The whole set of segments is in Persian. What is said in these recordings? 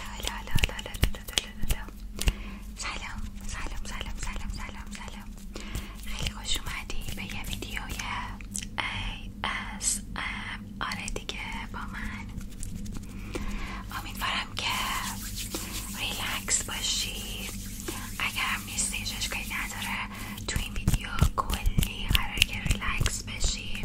هلا هلا سلام سلام سلام سلام سلام سلام خیلی خوش اومدی به یه ویدیوی ASMR آره دیگه با من امیدوارم که ریلکس باشی اگرم نیستی هیچ نداره تو این ویدیو کلی قرار که ریلکس باشی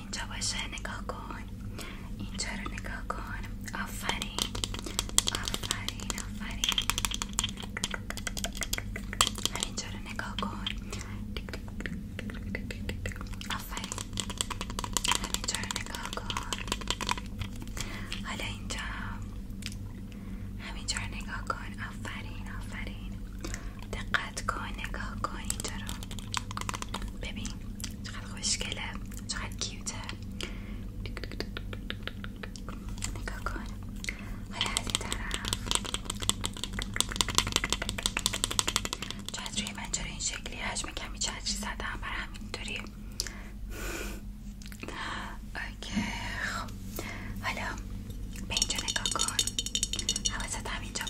اینجا باشه نگاه کن اینجا رو نگاه کن آفرین آفرین آفرین همینجا رو نگاه کن آفرین همینجا نگاه کن حالا اینجا همین رو نگاه کن آفرین آفرین دقت کن نگاه کن اینجا ببین چقدر خوشگله چقدر کیوته نگاه کن حالا از این طرف چطوری من چرا این شکلی حجم کمی چطری زدم برای همینطوری اوکی خب حالا به اینجا نگاه کن حواست همینجا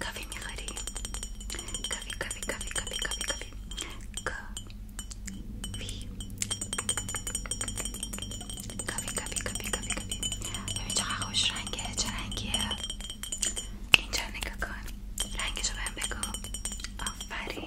کافی میخوری کافی کافی کافی کافی کافی کافی کافی کافی کافی کافی کافی کافی ببین چه خوش رنگه چه رنگیه اینجا رنگشو بگو آفرین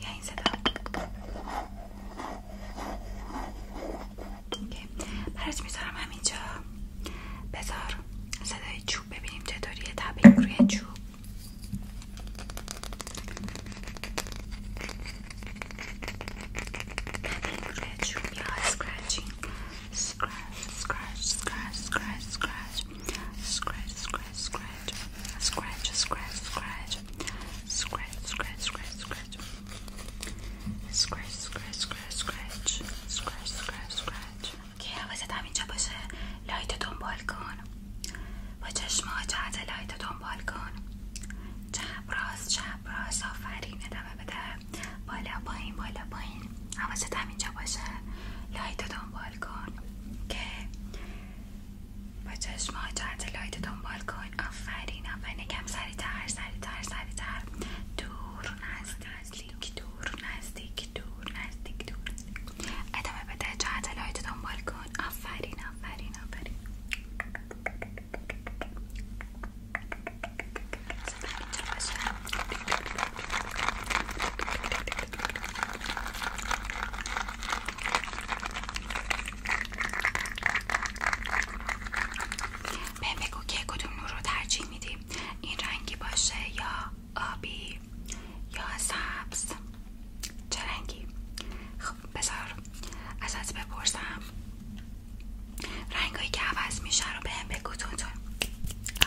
Yeah, این صدا برات میذارم همینجا بذار صدای چوب ببینیم چطوریه تبیک روی چوب روی چوب یا سکرچ سکرچ سکرچ سکرچ سکرچ scratch, scratch, scratch, scratch, scratch, scratch, scratch, scratch, scratch, scratch, scratch, scratch, scratch, scratch, scratch, همینجا باشه لایت دنبال کن با چشما جهت لایت دنبال کن چپ راست چپ راست آفرین ادامه بده بالا پایین بالا همینجا باشه لایت دنبال کن که با چشمه جهت لایت دنبال کن آفرین آفرین سری سریعتر سریعتر سریعتر دور نزدیک دور نزدیک دور نزدیک دور ادامه بده جهت لایت دنبال کن آفرین آفرین آفرین بهم بگو که کدوم نور رو ترجیح میدی این رنگی باشه یا آبی یا سبز چه رنگی؟ خب بذار از بپرسم رنگایی که عوض میشه رو بهم بگو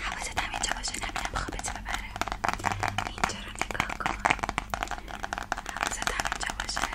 حواست هم اینجا باشه نبینم خوابت ببره اینجا رو نگاه کن حواست هم اینجا باشه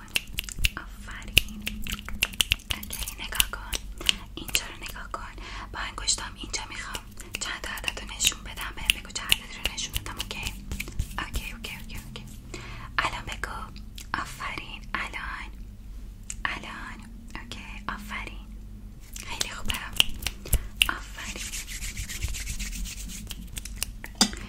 آفرین اوکی نگاه کن اینجا رو نگاه کن با انگشتام اینجا میخوام چند تا عدد رو نشون بدم بگو چند عدد رو نشون دادم اوکی اوکی اوکی اوکی الان بگو آفرین الان الان اوکی آفرین خیلی خوبه آفرین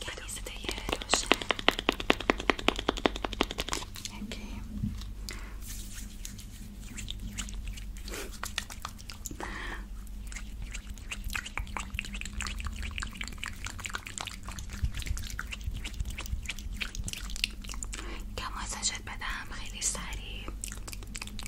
بدون صدای روشن اوکی بدم خیلی سریع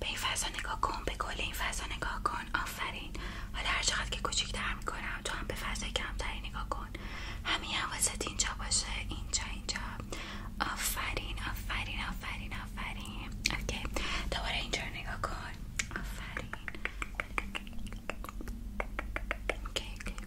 به این فضا نگاه کن به کل این فضا نگاه کن آفرین حالا هر چقدر که کوچیک‌تر میکنم تو هم به فضای کمتری نگاه کن همین حواست اینجا باشه اینجا اینجا آفرین آفرین آفرین آفرین اوکی دوباره اینجا رو نگاه کن آفرین